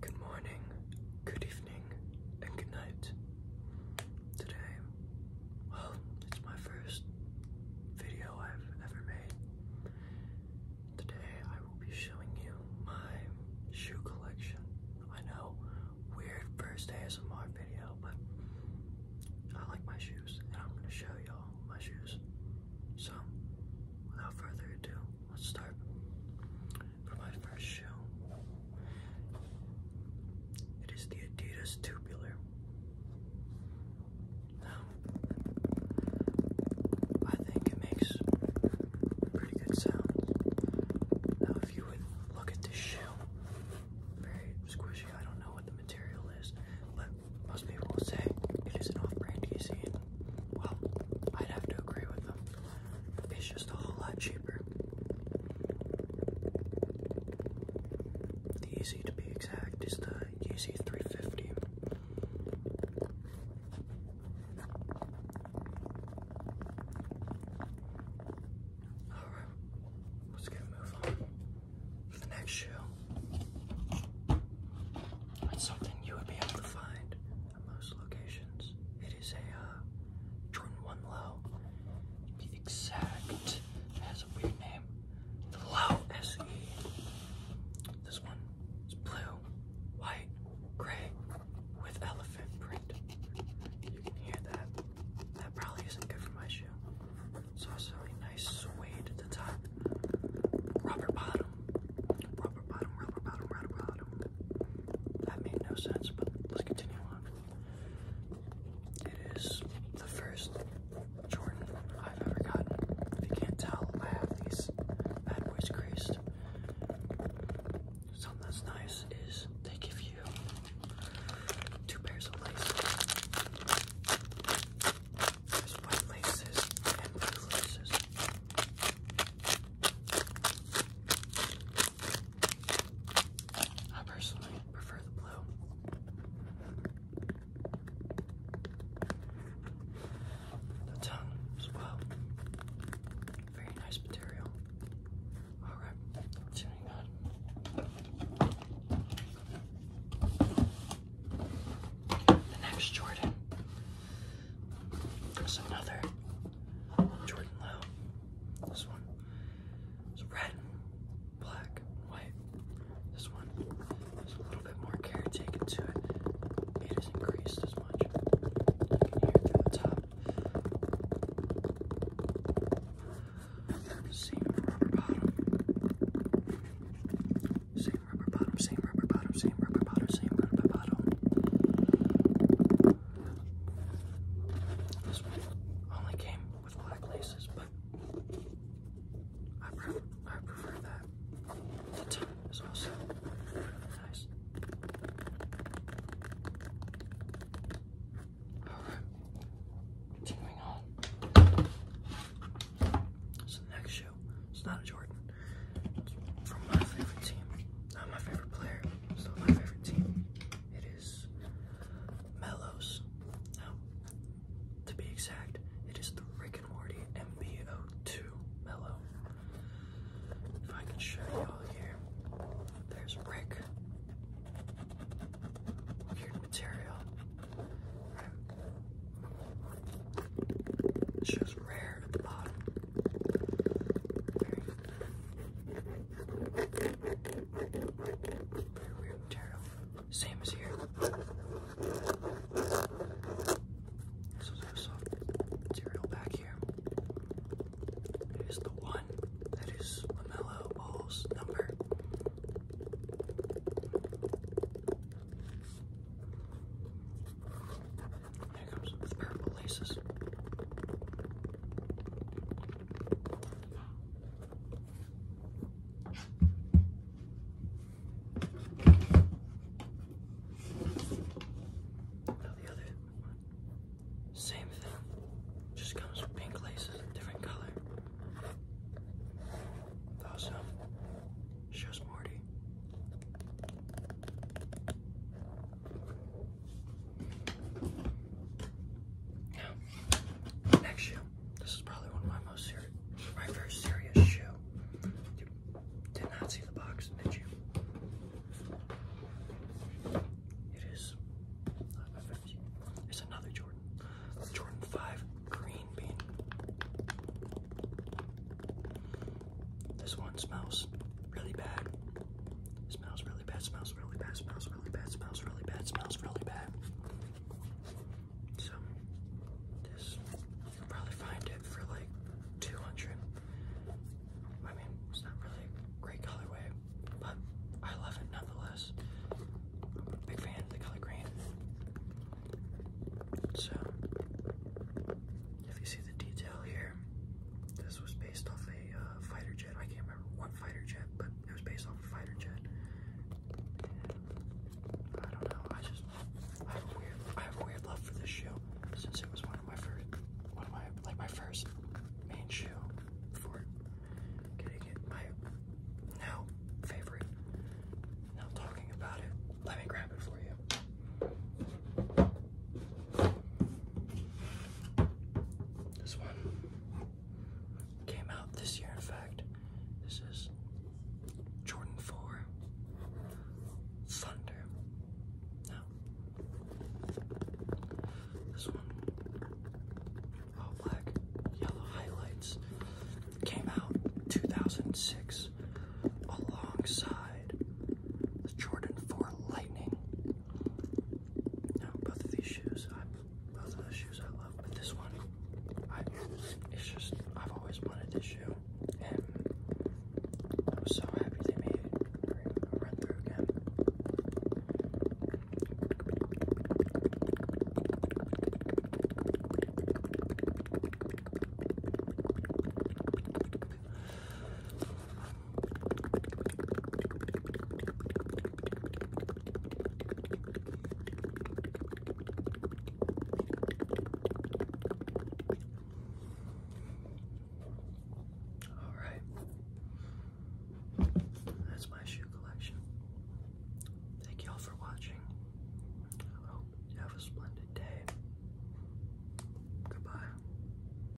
Good morning, good evening, and good night. Today, well, it's my first video I've ever made. Today, I will be showing you my shoe collection. I know, weird first ASMR video, but I like my shoes, and I'm gonna show y'all my shoes. So, without further ado, let's start for my first shoe. It is the Adidas Tubular. Now, I think it makes pretty good sound. Now, if you would look at this shoe, very squishy. I don't know what the material is, but most people will say it is an off-brand easy, and well, I'd have to agree with them. It's just a whole lot cheaper. The Yeezy, to be exact, is the Yeezy 350. Alright, let's get move on for the next shoe. It's something you would be able to find at most locations. It is a uh, Jordan 1 Low. The exact, has a weird name, the Low SE. This one is blue, white, gray, with elephant print. You can hear that. That probably isn't good for my shoe. It's also a nice suede at the top. Rubber bottom. Rubber bottom, rubber bottom, rubber bottom. That made no sense, but let's continue on. It is the first Jordan I've ever gotten. If you can't tell, I have these bad boys creased. Something that's nice is they give you two pairs of laces. white laces and blue laces. I personally prefer the blue. The tongue as well. Very nice material. All right, The next Jordan is another Jordan Low. This one is red, black, white. This one has a little bit more care taken to it. It is increased as much. You can the top. Same rubber bottom. Same rubber bottom, same rubber bottom, same rubber bottom, same rubber bottom. only came with black laces, but I, pre I prefer that. The top is also guys. continuing on. So the next shoe, it's not a Jordan. from my favorite team. Not my favorite player, still my favorite team. It is Mellows. to be exact, it is the Rick and Morty MBO2 Mellow. If I could show y'all here, there's Rick. Weird material. It shows rare very weird material. Same as here. This is our soft material back here. It is the one that is LaMelo Ball's number. Here comes the purple laces same thing, just comes with pink laces, different color. Also, shows Morty. next shoe. This is probably one of my most serious, my very serious shoe did not see the box, did you? It is It's another Jordan. Jordan 5 green bean. This one smells really bad. Smells really bad, smells really bad, smells really bad, smells really bad, smells really bad. Smells really bad. So this you can probably find it for like 200. I mean, it's not really a great colorway, but I love it nonetheless. Big fan of the color green. So if you see the detail here, this was based off a uh, fighter jet. I can't remember what fighter jet, but it was based off a fighter jet. I don't know. I just I have a weird I have weird love for this shoe since it was one of my first one of my like my first main shoe for getting it my now favorite. Now talking about it, let me grab it for you. This one Came out this year, in fact. This is Jordan 4 Thunder. this one, all black, yellow highlights, came out 2006 alongside the Jordan 4 Lightning now both of these shoes, I both of the shoes I love, but this one, I it's just I've always wanted this shoe, and I was so happy they made it. run through again. All right, that's my shoe collection. Thank y'all for watching. I hope you have a splendid day. Goodbye.